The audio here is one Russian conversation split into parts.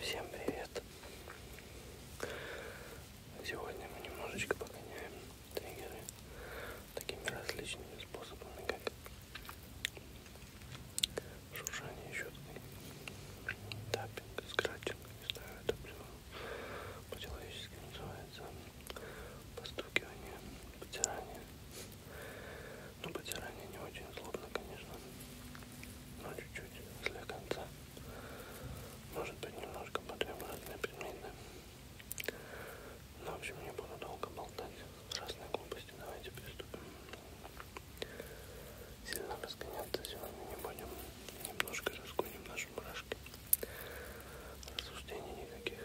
Всем привет! Сегодня мы немножечко погоняем триггеры такими различными способами, как шуршание щеткой, таппинг, скратчинг, не знаю, это плюс по-человечески называется постукивание, потирание. Ну, потирание не очень злобно, конечно, но чуть-чуть для конца. Может быть, немножко потрем разные предметы. Но, ну, в общем, не буду долго болтать с разной глупостью. Давайте приступим. Сильно разгоняться сегодня не будем. Немножко разгоним наш наши мурашки. Рассуждений никаких,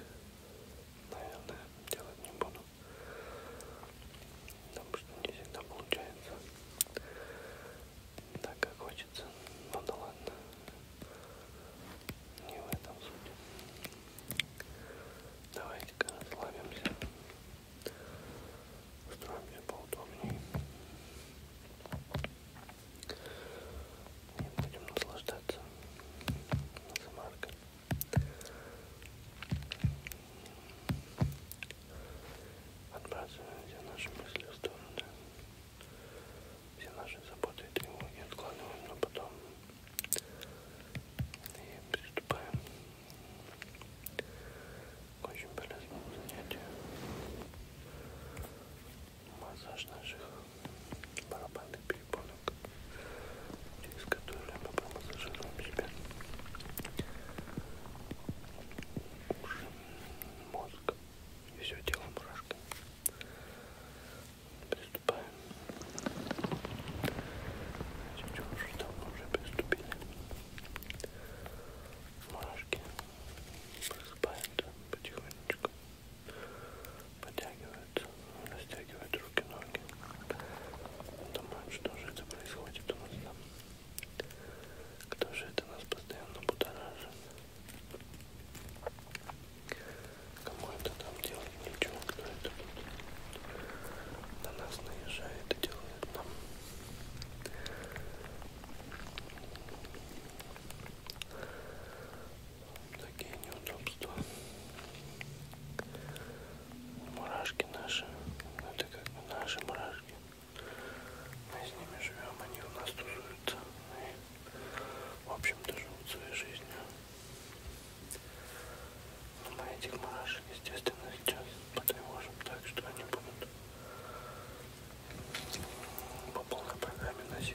наверное, делать не буду. Потому что не всегда получается так, как хочется. Ну да ладно. Не в этом суть. Давайте-ка расслабимся. Устроимся поудобнее. И будем наслаждаться замаркой. Отбрасываем все наши мысли в сторону. Все наши заботы и тревоги откладываем на потом. И приступаем к очень полезному занятию массаж наших барабанных перепонок, через которые мы промассажируем себе уши, мозг и все тело мурашками. Приступаем. Сейчас уже давно уже приступили. Мурашки просыпаются потихонечку. Уши, подтягивают, растягивают руки, ноги. Думают, что же это происходит у нас там. Кто же это нас постоянно будоражит? Кому это там делать ничего, кто это на нас наезжает и делает нам такие неудобства мурашки наши ну это как бы наши мурашки мы с ними живем они у нас тусуются и в общем-то живут своей жизнью но мы этих мурашек естественно сейчас потревожим так что они будут по полной программе носить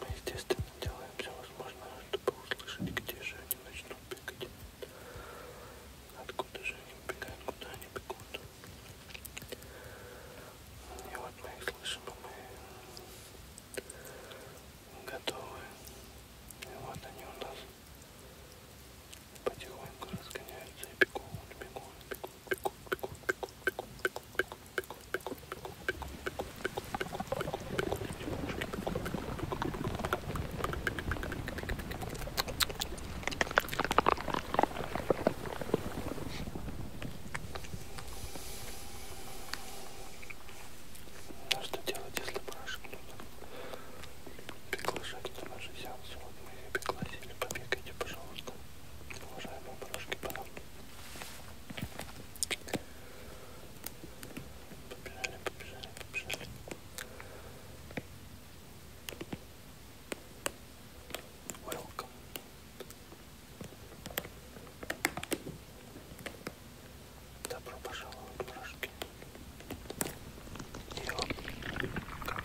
Мы, естественно, делаем все возможное, чтобы услышать, где же они начнут бегать. Откуда же они убегают, куда они бегут. И вот мы их слышим, и мы готовы. И вот они у нас потихоньку разгоняются и бегут, бегут, бегут. А что делать, если барашек нужно приглашать на наши сеансы? Вот мы их пригласили, побегайте, пожалуйста, уважаемые барашки, пора. Побежали, побежали, побежали. Welcome. Добро пожаловать, мурашки. Йо. Как?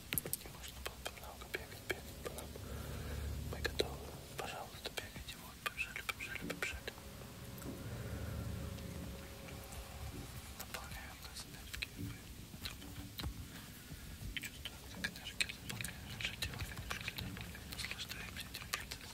И можно было много бегать, бегать по нам. Мы готовы, пожалуйста, бегать. И вот, побежали, побежали, побежали. Наполняем нас энергией. Мы в этот момент чувствуем, как энергия заполняет наше тело, конечно, наслаждаемся этим процессом.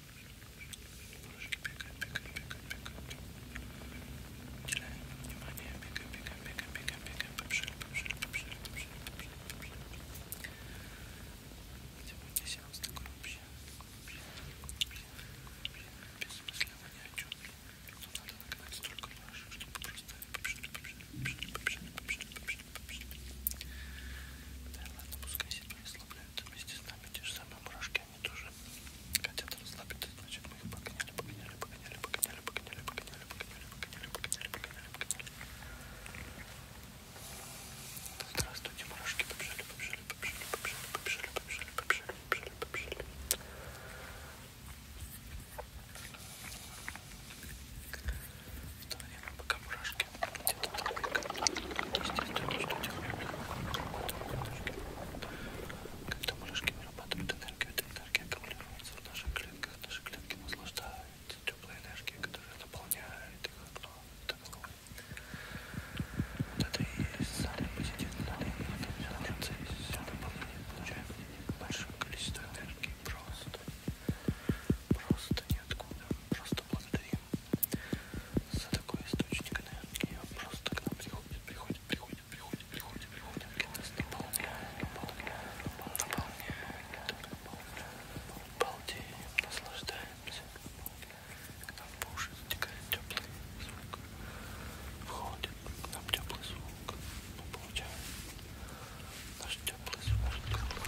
Ножик бегает, бегает, бегает, бегает. Уделяем внимание, бегаем, бегаем, бегаем, бегаем, бегаем. Побежали, побежали, побежали, побежали, побежали, побежали. Сегодня сеанс такой вообще, вообще, вообще, вообще бессмысленно ни о чем. Но надо нагнать столько нож, чтобы просто побежали, побежали, побежали, побежали, побежали, побежали, побежали. Да ладно, пускай себя расслабляются вместе с нами те же самые мурашки собаки, они тоже хотят расслабиться, значит мы их погоняли, погоняли, погоняли, погоняли, погоняли, погоняли, погоняли, погоняли, погоняли, погоняли, погоняли. Здравствуйте, мурашки, побежали, побежали, побежали, побежали, побежали, побежали, побежали, побежали, побежали. В то время, пока мурашки где-то там, естественно, что делали, когда мурашки вырабатывают энергию, эта энергия аккумулируется в наших клетках. Наши клетки наслаждаются теплой энергией, которая наполняет их окно. Вот это и есть самый позитивный момент в этом процессе. Наполнение получаем большое количество энергии просто. Просто ниоткуда. Просто благодарим за такой источник энергии и он просто к нам приходит, приходит, приходит, приходит, приходит, приходит, приходит, наполняет, наполняет, наполняет, балдеем, наслаждаемся, к нам по уши затекает теплый звук, входит к нам теплый звук, мы получаем наш теплый звук, наш теплый звук.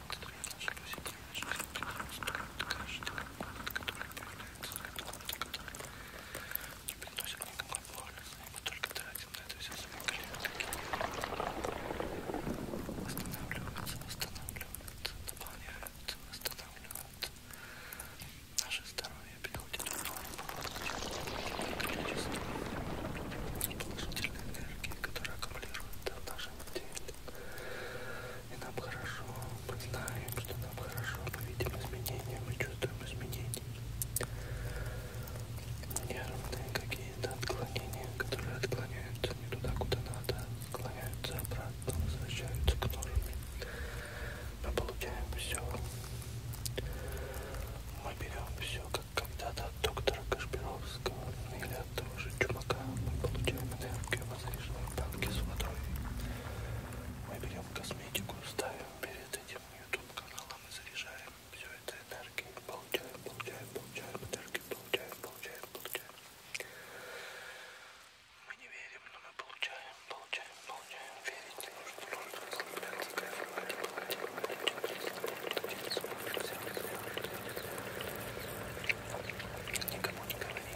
не приносит никакой пользы, мы только тратим на это все свои клетки. Восстанавливаются, восстанавливаются, наполняются, восстанавливаются. Наше здоровье приходит в норму количество положительной энергии, которая аккумулируется в нашем теле. И нам хорошо, мы знаем, что нам хорошо, мы видим изменения, мы чувствуем изменения. Нервные какие-то отклонения, которые отклоняются не туда, куда надо, отклоняются обратно, возвращаются к норме. Мы получаем все. Мы берем все, как когда-то от доктора Кашпировского или от того же чумака мы получаем энергию, возреженные банки с водой. Мы берем косметику, ставим перед этим YouTube каналом и заряжаем все это энергией. Получаем, получаем, получаем энергию, получаем, получаем, получаем. Мы не верим, но мы получаем, получаем, получаем. Верить не нужно, нужно расслабляться, кайфовать, платить, платить, платить, Никому не говори,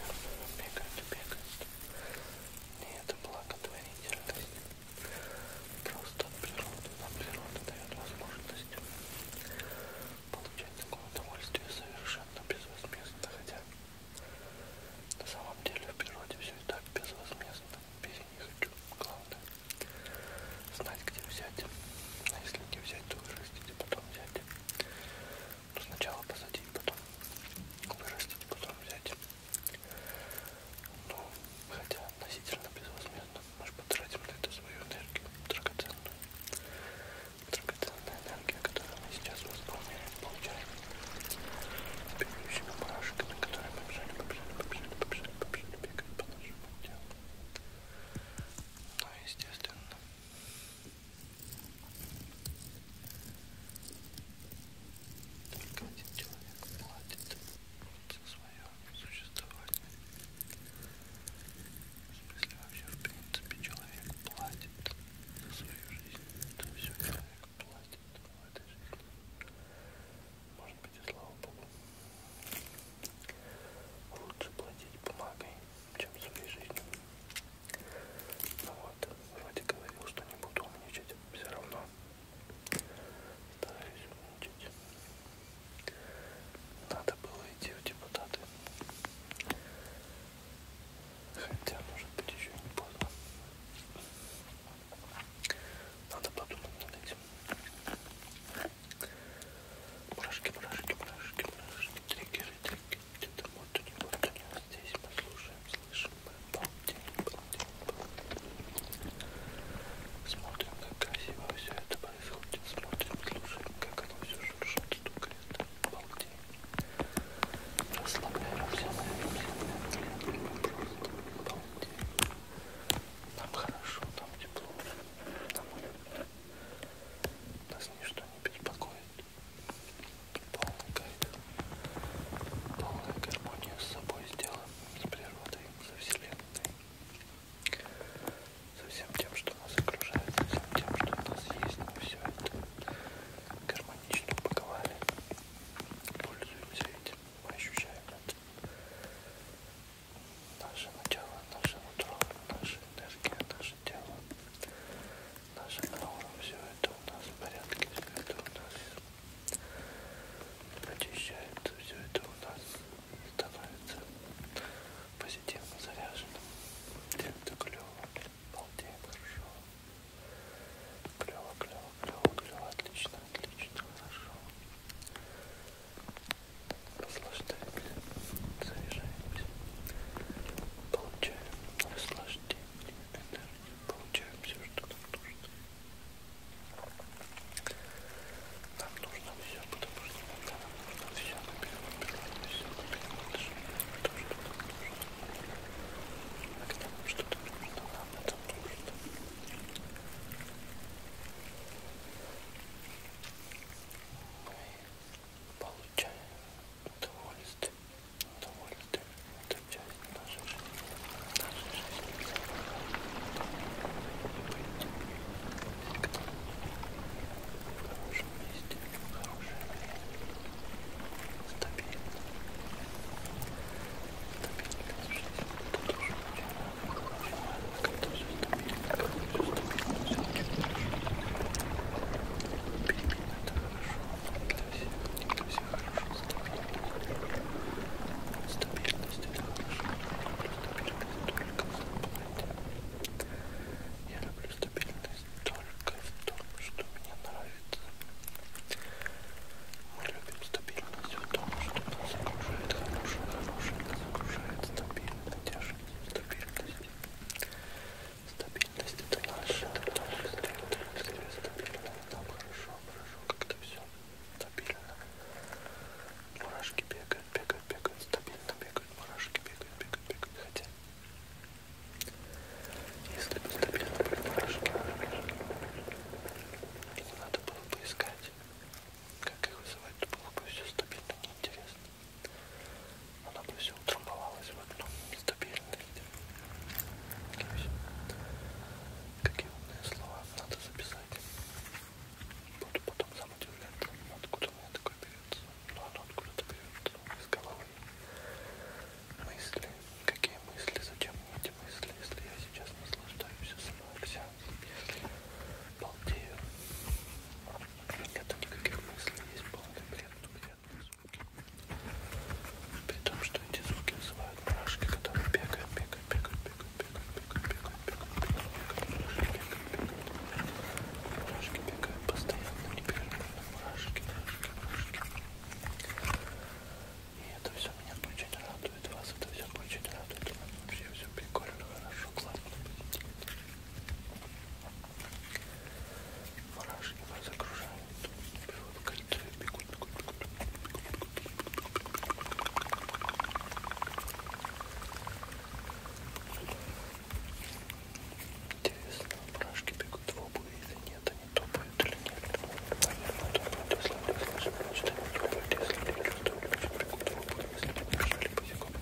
бегают, бегают, бегают. Не это благотворительность. Просто от природы. Нам природа дает возможность получать такое удовольствие совершенно безвозмездно. Хотя на самом деле в природе все и так безвозмездно. Бери не хочу. Главное знать, где взять. А если не взять, то вырастить и потом взять. Ну, сначала посадить, потом вырастить, потом взять. Ну, хотя относительно безвозмездно, мы же потратим на это свою энергию, драгоценную. Драгоценная энергия, которую мы сейчас восполняем, получаем бегущими мурашками, которые побежали, побежали, побежали, побежали, побежали, бегать по нашему делу. Ну, естественно, только один человек платит за свое существование. В смысле вообще в принципе человек платит за свою жизнь. Это все человек платит в этой жизни. Может быть и слава богу. Лучше платить бумагой, чем в своей жизни. Ну вот, вроде говорил, что не буду умничать, все равно стараюсь умничать. Надо было идти в депутаты. Хотя, может быть, еще не поздно. Надо подумать над этим. Мурашки, мурашки, мурашки, мурашки, триггеры, триггеры. Где-то вот у него вот здесь мы слушаем, слышим, мы балдеем, балдеем, балдеем. Смотрим, как красиво все это происходит. Смотрим, слушаем, как оно все шуршит, стукает. Балдеем. Расслабляемся, наверное, просто балдеем. Нам хорошо, нам тепло, нам уютно. Нас ничто не беспокоит полный кайф, полная гармония с собой, с делом, с природой, со вселенной, со всем тем, что нас окружает, со всем тем, что у нас есть, мы все это гармонично упаковали, пользуемся этим, мы ощущаем это. Наше начало, наше утро, наша энергия, наш наше тело, наша аура, все это у нас в порядке, все это у нас очищается, все это у нас становится позитивно заряженным. Это клево, балдеем хорошо. Клево, клево, клево, клево, отлично, отлично, хорошо. Наслаждаемся, заряжаемся, получаем наслаждение, энергию, получаем все, что нам нужно. Нам нужно все, потому что иногда нам нужно все, мы берем, берем, все, мы берем, то, что нам нужно. А когда нам что-то нужно, нам это нужно. Мы получаем удовольствие, удовольствие это часть нашей жизни, нашей жизни быть всегда в хорошем месте, в хорошее время, стабильно, стабильная жизнь, тут уже очень много, очень много, я люблю стабильность только в том, что мне нравится. Мы любим стабильность в том, что нас окружает хорошее, хорошее нас окружает стабильность, тяжесть, стабильность. Стабильность это наша, это наша стабильность, стабильно, нам хорошо, хорошо, как-то все стабильно. Мурашки бегают, бегают, бегают, стабильно бегают, мурашки бегают, бегают, бегают, хотя если бы стабильно были мурашки, и не надо было бы искать, как их вызывать, то было бы все стабильно неинтересно. Оно бы все утрамбовалось в одну стабильность. Какие умные слова надо записать. Буду потом сам удивляться, откуда у меня такое берется. Но ну, оно откуда-то берется из головы. Мысли. Какие мысли? Зачем мне эти мысли? Если я сейчас наслаждаюсь самоаксианцем, если балдею. Нет никаких мыслей, есть полный бред, приятные звуки. При том, что эти звуки называют мурашки, которые бегают, бегают, бегают, бегают, бегают, бегают, бегают, бегают, бегают, бегают, бегают, бегают, мурашки бегают постоянно, непрерывно, мурашки, мурашки, мурашки. И это все меня очень радует, вас это все очень радует, вообще все прикольно, хорошо, классно. Мурашки нас окружают, берут в кольцо и бегут, бегут, бегут, бегут, бегут. Интересно, мурашки бегут в обуви или нет, они топают или нет. Наверное, топают, если они слышат, значит они топают, если они чувствуют, значит бегут в обуви, если они бежали босиком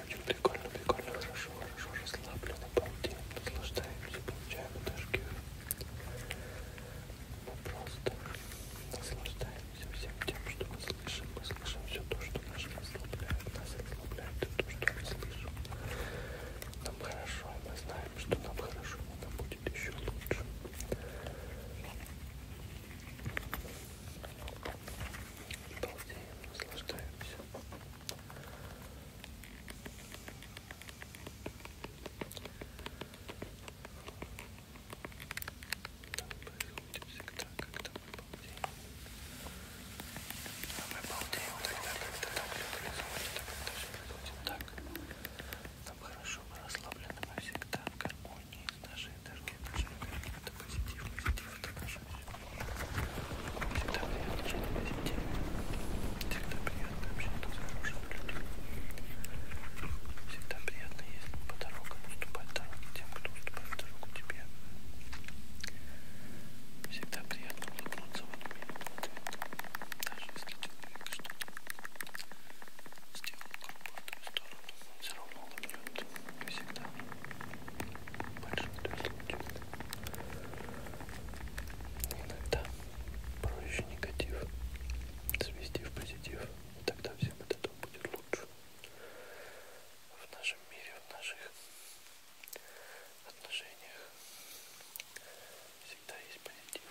все очень прикольно, прикольно, хорошо, хорошо, расслабленно, балдеем, наслаждаемся, получаем энергию. Мы просто наслаждаемся всем тем, что мы слышим. Мы слышим все то, что нас расслабляет, нас расслабляет и то, что мы слышим. Нам хорошо, и мы знаем, что нам хорошо, но нам будет еще лучше. Балдеем, наслаждаемся. Мы всегда, когда мы балдеем. А мы балдеем тогда, когда так все происходит, а когда все происходит так. Нам хорошо, мы расслаблены, мы всегда в гармонии с нашей энергией, нашей энергией. Это позитив, позитив, это наша Всегда приятно жить в позитиве. Всегда приятно общаться с хорошими людьми. Всегда приятно ездить по дорогам, уступать дороги тем, кто уступает дорогу тебе. Всегда приятно улыбнуться в ответ, даже если человек что-то сделал грубо в твою сторону, он все равно улыбнется всегда. В большинстве случаев. Иногда проще негатив свести в позитив, и тогда всем от этого будет лучше. В нашем мире, в наших отношениях всегда есть позитив.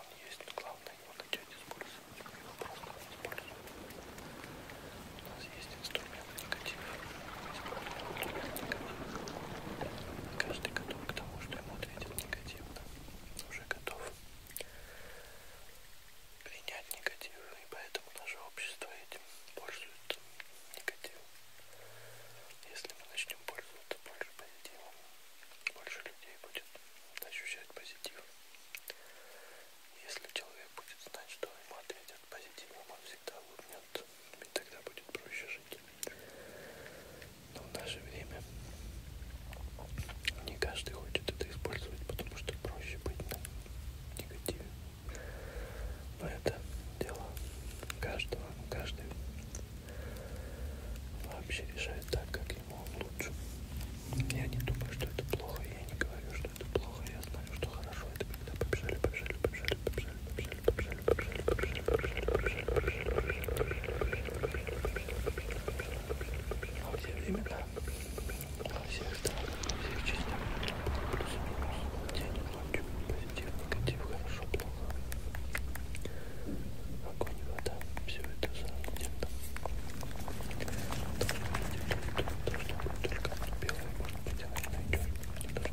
Он есть, но главное его начать использовать. Его просто использовать. У нас есть инструмент негатива. Каждый готов к тому, что ему ответят негативно. Уже готов принять негатив, и поэтому наше общество этим пользуется негативом. Если мы начнем пользоваться больше позитивом, больше людей будет ощущать позитив. Если человек будет знать, что ему ответят позитивом, он всегда улыбнется, ведь тогда будет проще жить. Но в наше время не каждый хочет это использовать, потому что проще быть на негативе. Но это дело каждого, каждый вообще решает так, как ему лучше. Я не думаю, что это плохо, я не говорю, что это плохо, я знаю, что хорошо. Это когда побежали, побежали, побежали, побежали, побежали. У всех времена, у всех стран, у всех частях, плюс-минус, день, ночь, позитив, негатив, хорошо, плохо, огонь, вода, все это за где-то. Должно быть только белое, может быть, она и найдет.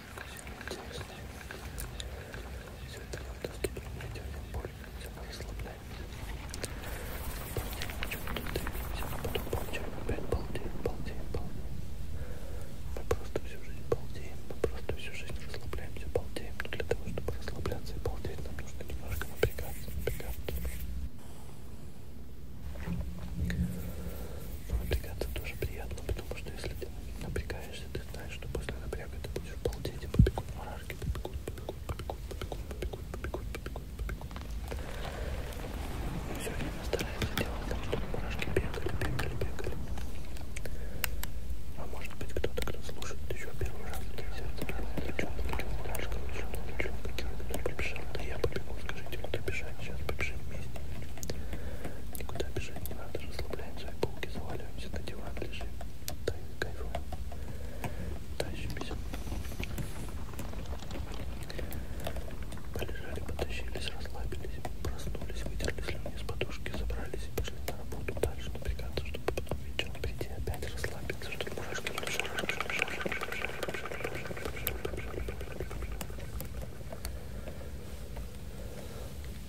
Мы просто всю жизнь балдеем, мы просто всю жизнь расслабляемся, балдеем. Но для того, чтобы расслабляться и балдеть, нам нужно немножко напрягаться, напрягаться. Но напрягаться тоже приятно, потому что если ты напрягаешься, напрягаешься, ты знаешь, что после напряга ты будешь балдеть и побегут мурашки, побегут, побегут, побегут, побегут, побегут, побегут, побегут, побегут. Мы все время стараемся делать так, чтобы мурашки бегали, бегали, бегали. А может быть кто-то, кто слушает еще первый раз, сердце мурашка, я побегу, скажите, куда бежать, сейчас побежим вместе. Никуда бежать не надо, расслабляемся и полки заваливаемся на диван диван лежим, да, кайфуем, тащимся. Полежали, потащились, расслабились, проснулись, вытерли слюни с подушки, забрались и пошли на работу дальше напрягаться, чтобы потом вечером прийти опять расслабиться, чтобы мурашки и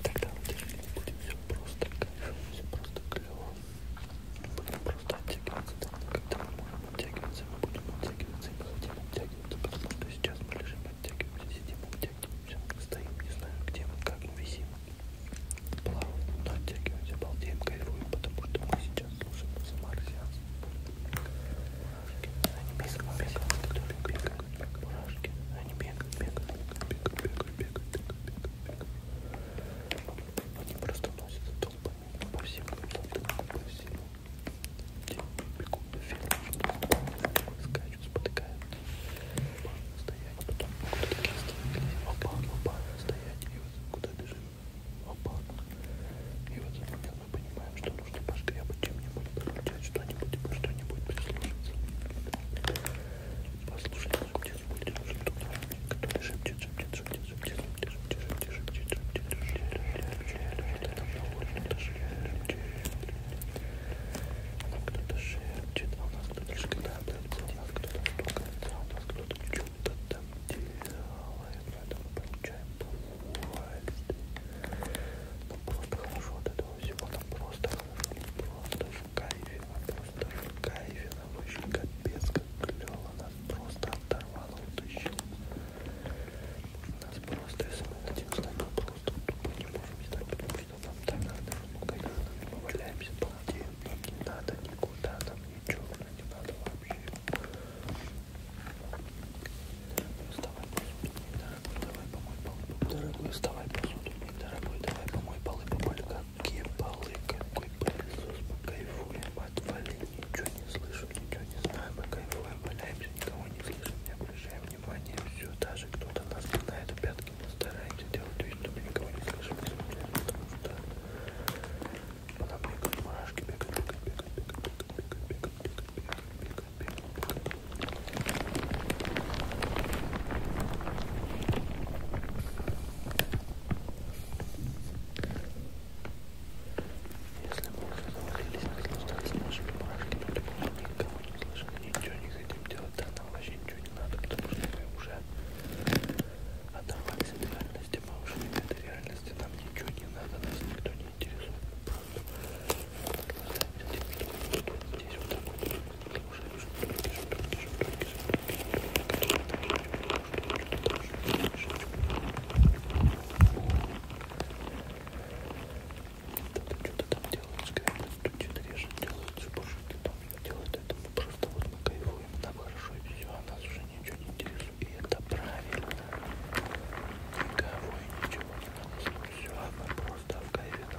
тогда в деревне будет все просто кайфово, все просто клево. Будем просто оттягиваться. Когда мы можем оттягиваться, мы будем оттягиваться и мы хотим оттягиваться, потому что сейчас мы лежим, оттягиваемся, сидим, оттягиваемся, стоим, не знаю где мы, как мы висим. Плаваем, но оттягиваемся, балдеем, кайфуем, потому что мы сейчас слушаем самарсианс. Они без американских топик бегают, как мурашки. Они бегают, бегают, бегают, бегают, бегают, бегают, бегают, бегают. Они просто носятся толпами по всем планетам, по всему. Бегут, фермы, скачут, спотыкаются. Стоять, потом куда-то кистились. Опа, опа, стоять. И вот куда бежим. Опа. И вот в этот момент мы понимаем, что нужно пошкрябать чем-нибудь придет что-нибудь, что-нибудь прислушаться. Послушай, шепчет, будет уже тут, который шепчет, шепчет, шепчет, шепчет, шепчет, шепчет, шепчет, шепчет, шепчет, а у нас кто-то шкодается, у нас кто-то штукается, а у нас кто-то что-то там делает, но это мы получаем по удовольствие. Нам просто хорошо от этого всего, нам просто просто в кайфе, она просто в кайфе, она очень капец, как клево, нас просто оторвала, утащила. Нас просто, если мы хотим с нами, просто тупо не можем с нами, потому что нам так надо, ну, когда мы валяемся, балдеем, нам не надо никуда, нам ничего, нам не надо вообще. Просто вопрос, не надо давай помой полы, дорогой, вставай посуду, дорогой, давай помой полы, помой, какие полы, какой пылесос, мы кайфуем, отвали, ничего не слышу, ничего не знаю, мы кайфуем, валяемся, никого не слышим, не обращаем внимания, все, даже кто-то нас пинает в пятки, мы стараемся делать вид, чтобы никого не слышим, не смотрим, потому что она бегает, мурашки бегают, бегают, бегают, бегают, бегают, бегают, бегают, бегают, бегают, бегают, если мы уже завалились, наслаждались нашими мурашками, то мы никого не слышим, ничего не хотим делать, да нам вообще ничего не надо, потому что мы уже оторвались от реальности, мы уже не в этой реальности, нам ничего не надо, нас никто не интересует, мы что-то там делают, скрипят, стучат, режут, делают, цепушки там делают это. Мы просто вот мы кайфуем, нам хорошо и все, а нас уже ничего не интересует. И это правильно. Никого и ничего не надо. Все, а мы просто в кайфе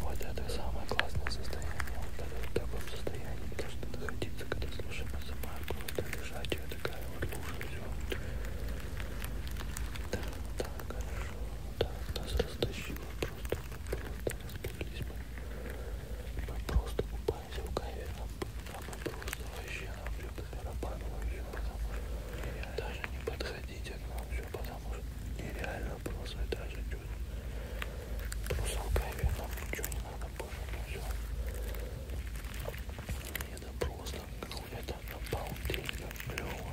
Вот это самое классное состояние. Вот это в таком состоянии должно находиться, когда слушаем музыку. Это лежачая такая вот лужа. Все. Да, да, хорошо. Да, нас растащило просто. Просто разбились мы. Мы просто купаемся в кайфе. А мы просто вообще нам все по барабану вообще. Даже не подходите а к нам. Все кайфе, потому что нереально просто даже чуть. Трусом кайфе, нам ничего не надо больше, ну все. И это просто, ну это обалденно клево.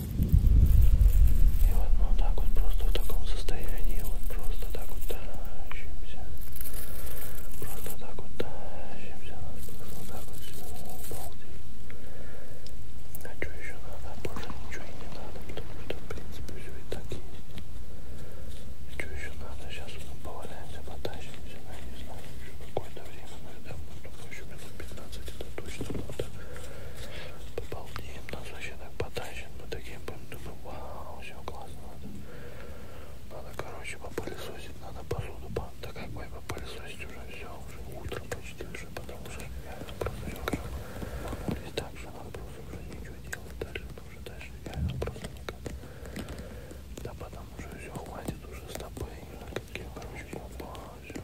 И вот мы ну, вот так вот просто в таком состоянии, вот просто так вот тащимся. Просто так вот тащимся, просто вот так вот все, обалдеть. А что еще надо? Больше а ничего и не надо, потому что в принципе все и так есть. А что еще надо? Сейчас мы поваляемся, потащимся, но ну, я не знаю, еще какое-то время, наверное, ну, еще минут 15 это точно надо. Побалдеем, нас вообще так потащит мы такие будем думать вау все классно надо надо короче попылесосить надо посуду по да как бы попылесосить уже все уже утро почти уже потому что я просто все и так же надо просто уже ничего делать дальше уже дальше реально просто никак да потом уже все хватит уже с тобой и такие короче все, все.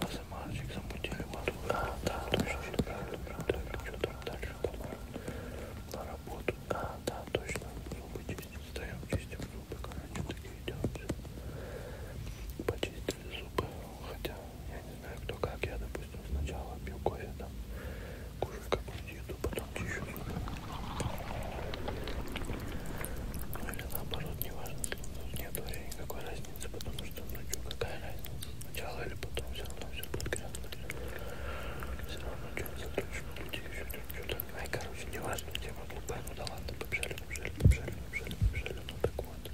А за мальчик замутили матку. А, да, точно, правильно, правильно. Что там дальше? На работу. А, да, точно. Зубы чистим, встаем, чистим зубы. Короче, такие делаем. Почистили зубы. Хотя, я не знаю, кто как. Я, допустим, сначала пью кофе, там, кушаю какую-то еду, потом чищу зубы. Ну или наоборот, неважно, тут нет времени, никакой разницы изменится, потому что ночью какая разница, сначала или потом все равно все будет грязно. Все равно что-то затручено, люди еще что-то. Ай, короче, не важно, тема глупая, ну да ладно, побежали, побежали, побежали, побежали, побежали, ну так вот.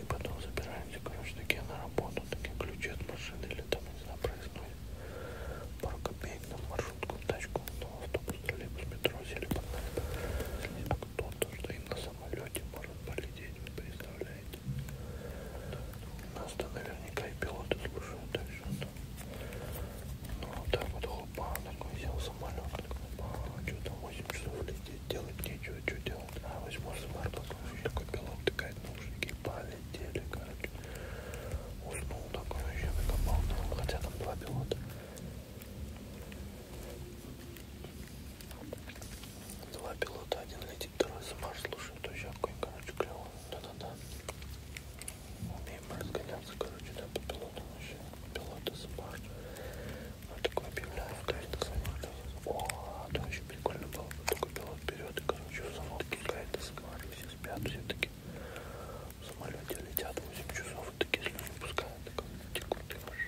И потом забираемся, короче, такие на работу, такие ключи от машины или там, не знаю, проездной. Пару копеек на маршрутку, тачку, на автобус, троллейбус, метро, сели, погнали. А кто-то, что и нас самолете может полететь, вы представляете? Нас-то наверняка и пилоты слушают, так что там. Ну вот так вот хопа, такой взял самолет, а, что там 8 часов лететь, делать нечего, что делать. А возьму самолет, такой пилот тыкает наушники, полетели, короче. Уснул такой вообще, накопал, хотя там два пилота. Два пилота, один летит, второй с Марс слушает ущапку. Короче, клево. Да-да-да. Умеем разгоняться, короче, да, по пилотам вообще. Пилоты с Марс. Вот такое объявляю, то есть на самолете. О, это вообще прикольно было. Только пилот вперед, и, короче, в самолке какая-то самолет. Все спят, все таки в самолете летят 8 часов, и такие слюни пускают. Так, текут, ты можешь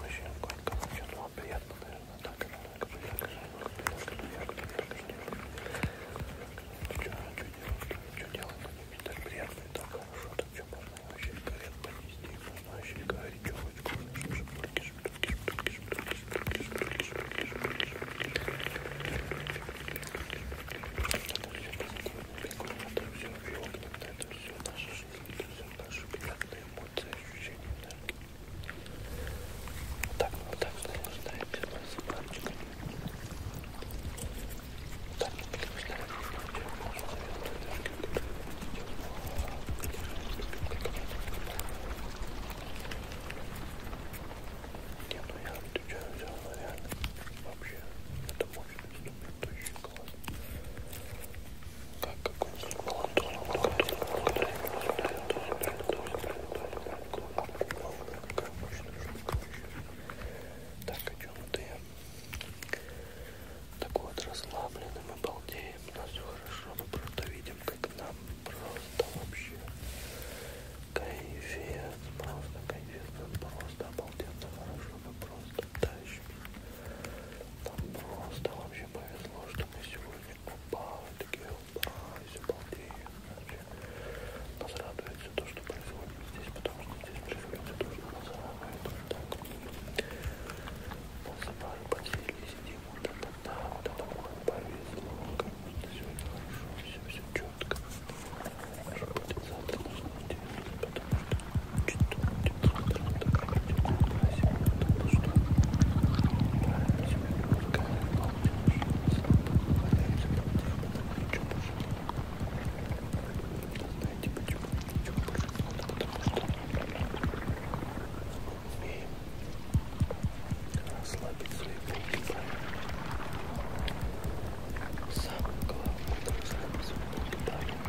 Вообще, конька, вообще, ну, а приятно, наверное, так, так, так, так, так, так, так, так, что делать-то, мне так приятно и так хорошо, так что можно вообще горят понести, можно вообще говорить, что хоть можно, шпульки, шпульки, шпульки, шпульки, шпульки, шпульки, шпульки, шпульки, шпульки, это все позитивно, прикольно, это все, и вот это все, наши шпильки, все наши приятные какое-то ощущение энергии. Вот так, вот так наслаждаемся марсипанчиками. Вот так не переставляем, нашу заветную энергию, которую мы не, ну я отвечаю все равно реально. Вообще, это мощность, но предыдущая. Так, идем ты. Так вот, расслабленным мы балдеем. У нас все хорошо, мы просто видим, как нам просто вообще кайфец. Просто кайфец. Нам просто обалденно хорошо. Мы просто тащит. Нам просто вообще повезло, что мы сегодня упали, такие упались, обалдеем. Нас радует все то, что происходит здесь, потому что здесь происходит все то, что нас радует. Вот так. Посыпали, подсели, сидим, вот это, да, вот это нам повезло, как будто сегодня хорошо, все, все четко. Может быть, завтра нужно делать, потому что знаете почему? Почему происходит? Потому что умеем расслабить свои руки правильно. Самое главное это расслабить свои руки правильно.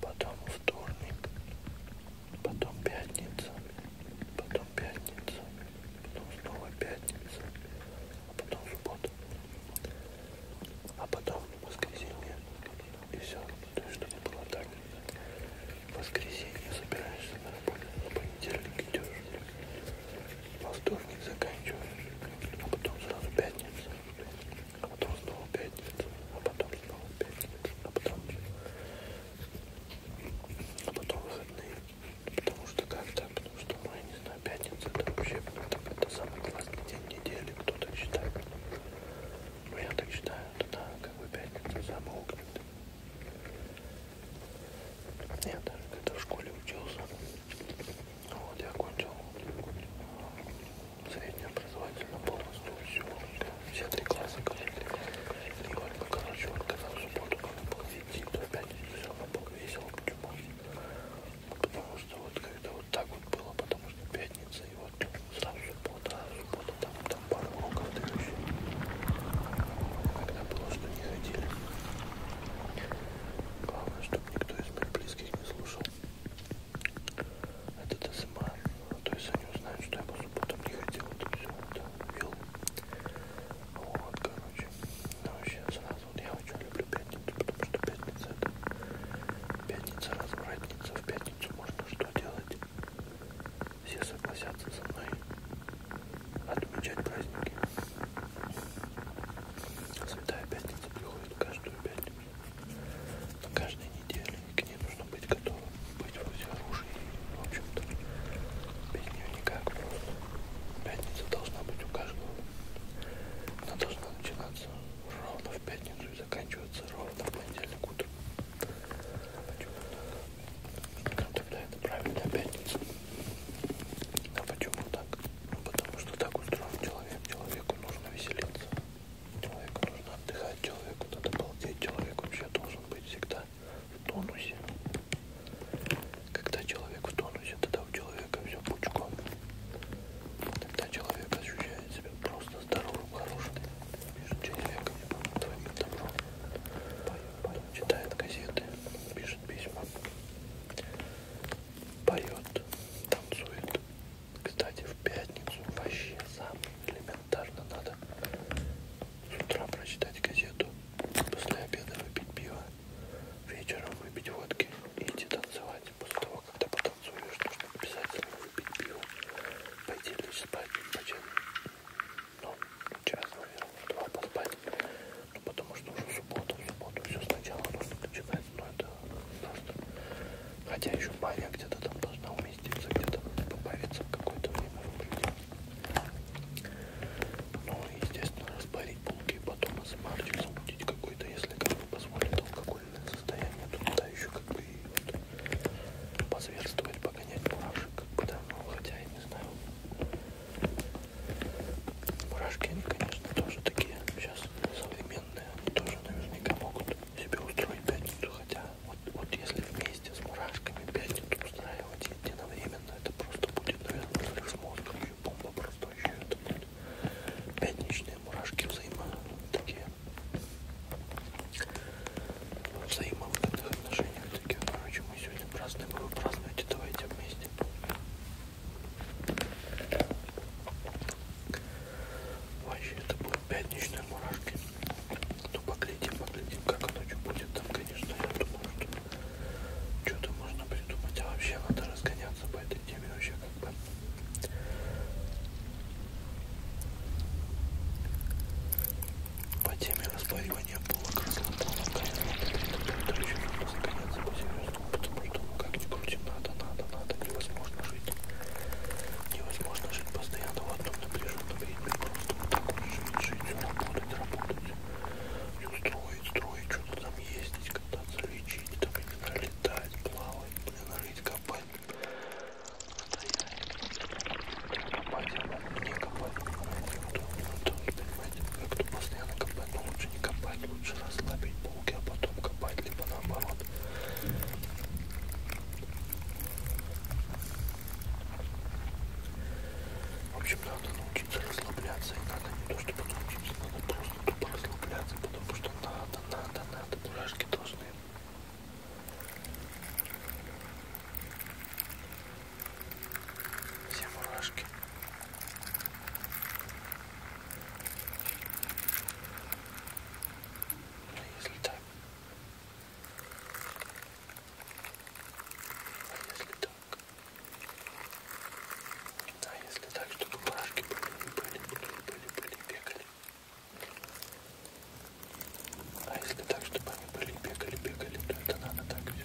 потом вторник, потом пятница, потом пятница, потом снова пятница, а потом суббота, а потом воскресенье и все. То есть чтобы было так. В воскресенье собираешься на работу, на понедельник идешь, во вторник заканчиваешь, а потом сразу пятница, а потом снова пятница, а потом снова пятница, а потом, а потом выходные, потому что как-то, потому что, ну, я не знаю, пятница это вообще это, это самый классный день недели, кто-то считает, ну, я так считаю, да, как бы пятница самая огненная. Я даже когда в школе учился, вот я окончил среднее образовательно полностью все, все три класса коллеги. И вот, короче, вот когда в субботу надо было идти, то опять все равно было весело, почему? Потому что вот когда вот так вот было, потому что пятница, и вот сразу суббота, а суббота там, там пару уроков да еще. Когда было, что не ходили. Главное, чтобы никто из моих близких не слушал этот СМР, ну, то есть они узнают, что я по субботам не хотел это все это вел. Вот, короче, ну вообще сразу, вот я очень люблю пятницу, потому что пятница это пятница развратница, в пятницу можно что делать? Все согласятся со мной отмечать праздники. Святая пятница приходит каждую пятницу. Но каждой неделе к ней нужно быть готовым, быть во всеоружии. В общем-то, без нее никак. Пятница должна быть у каждого. Она должна начинаться ровно в пятницу и заканчиваться ровно в понедельник утром. Почему? Тогда это правильная пятница. А почему так? Потому что так устроен человек. Человеку нужно веселиться. Человеку нужно отдыхать. Человеку надо балдеть. Человек вообще должен быть всегда в тонусе. Когда человек в тонусе, тогда у человека все пучком. Тогда человек ощущает себя просто здоровым, хорошим. Пишет человек своим добром. Читает газеты, пишет письма поет, танцует. Кстати, в пятницу вообще сам элементарно надо с утра прочитать газету, после обеда выпить пиво, вечером выпить водки и идти танцевать. После того, когда потанцуешь, нужно обязательно выпить пиво, пойти лечь спать, почти, ну, час, наверное, два поспать, ну, потому что уже суббота, в субботу все сначала нужно начинать но ну, это просто... Хотя еще Мария где-то там должна уместиться, где-то побавиться в какое-то время в Ну, естественно, распарить булки, потом измарчик замутить какой-то, если как бы позволит алкогольное состояние, то туда еще как бы и вот позверствовать, погонять мурашек, как бы, да, ну, хотя я не знаю, Мурашки, они, конечно, тоже такие сейчас современные. Они тоже наверняка могут себе устроить пятницу. Хотя, вот, вот если вместе с мурашками пятницу устраивать единовременно, это просто будет, наверное, взрыв мозга. Еще бомба просто еще это будет. Пятничные мурашки взаимо такие взаимовыгодных отношениях таких. Короче, мы сегодня празднуем, вы празднуете, давайте вместе. Вообще это будут пятничные мурашки. Ну поглядим, поглядим, как ночью будет. Там, конечно, я думаю, что что-то можно придумать. А вообще надо разгоняться по этой теме вообще как бы. По теме распаривания полок, разлом полок, конечно, это еще нужно загоняться по серьезно потому, потому что как ни крути, надо, надо, надо, невозможно жить. Невозможно жить постоянно в одном напряженном ритме, просто вот так вот жить, жить, работать, работать. И строить, строить, что-то там ездить, кататься, лечить, там, я не знаю, летать, плавать, блин, рыть, копать. Стоять, копать, не копать, понимаете, вот, вот, понимаете, как-то постоянно копать, но лучше не копать, лучше расслабить полки, а потом копать, либо наоборот. В общем, надо научиться расслабляться. И надо не то, чтобы научиться, надо просто тупо расслабляться, потому что надо, надо, надо. Мурашки должны все мурашки а если так? А если так? А если так, чтобы барашки были, были, были, были, были, бегали? А если так, чтобы они были, бегали, бегали, то это надо так все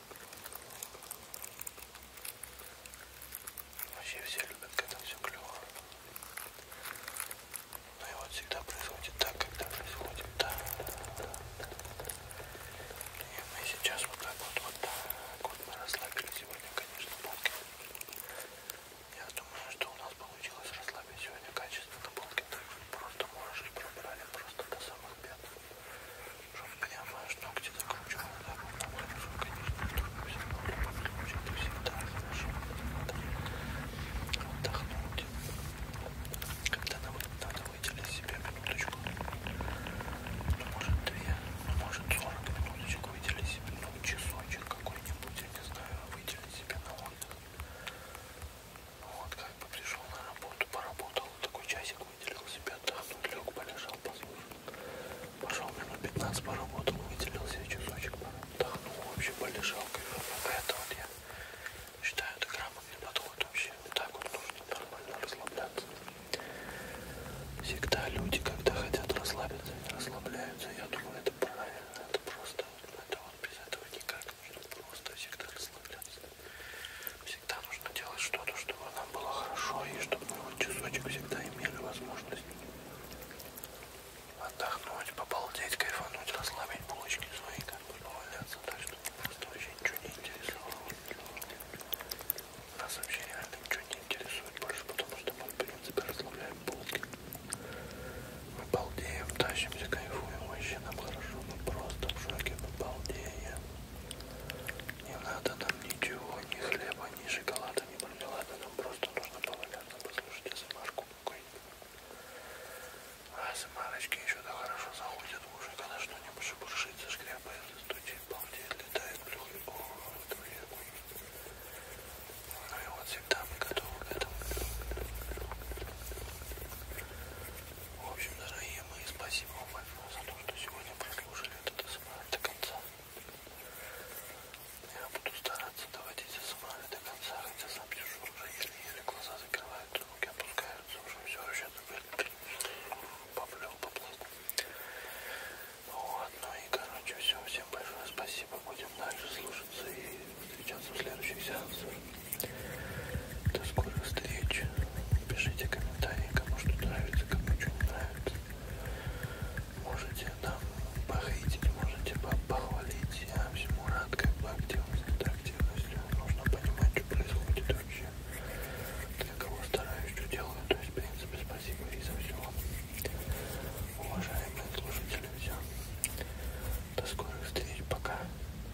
Вообще все любят, когда все клево. Но ну и вот всегда происходит так, когда происходит так. И мы сейчас вот так вот, вот так вот мы расслабили сегодня, конечно, полки. Я думаю, что у нас получилось расслабить сегодня качественно полки. Так просто можешь и пробрали просто до самых пят чтобы понимаешь, ну где-то круче надо было на улицу, конечно, чтобы все было поближе, это всегда, значит, надо отдохнуть. Когда надо, надо выделить себе минуточку, ну, может две, ну, может сорок минуточек, выделить себе, ну, часочек какой-нибудь, я не знаю, а выделить себе на отдых. Вот, как бы пришел на работу, поработал, такой часик выделил себе данную, лег, полежал, послушал. Пошел минут 15 поработал, выделил себе часочек, отдохнул, вообще полежал, кайфово. «Ну, это вот я считаю, это грамотный подход вообще. Так вот нужно нормально расслабляться. Всегда люди, когда хотят расслабиться, не расслабляются. Я думаю, это правильно, это просто, это вот без этого никак. Нужно просто всегда расслабляться всегда нужно делать что-то, чтобы нам было хорошо и чтобы мы вот часочек всегда имели возможность отдохнуть, побалдеть, кайфануть, расслабить булочки свои, как бы поваляться, так что просто вообще ничего не интересовало. Нас вообще реально ничего не интересует больше, потому что мы, в принципе, расслабляем булки. Мы балдеем, тащимся, кайфуем, вообще нам хорошо, мы просто в шоке, мы балдеем. Не надо нам ничего, ни хлеба, ни шоколада, ни мармелада. Нам просто нужно поваляться, послушать СМР-ку А СМР-очки еще-то хорошо заходят в уши, когда что-нибудь шебуршится, шкряпается, стучит, балдеет, летает, плюхает. О, это вредно. Ну и вот всегда мы готовы к этому. В общем, дорогие мои, спасибо вам большое за то, что сегодня прослушали этот СМР до конца. Я буду стараться доводить СМР до конца, хотя сам сижу уже еле-еле глаза закрываются, руки опускаются, уже все вообще поплел, поплыл. Вот, ну и короче все, всем большое спасибо, будем дальше слушаться и встречаться в следующих сеансах. До скорых встреч. Пишите комментарии, кому что нравится, кому что не нравится. Можете там похейтить, можете похвалить. Я всему рад, как бы активность, это активность. Нужно понимать, что происходит вообще. Для кого стараюсь, что делаю. То есть, в принципе, спасибо и за все. Уважаемые слушатели, все. До скорых встреч. Пока.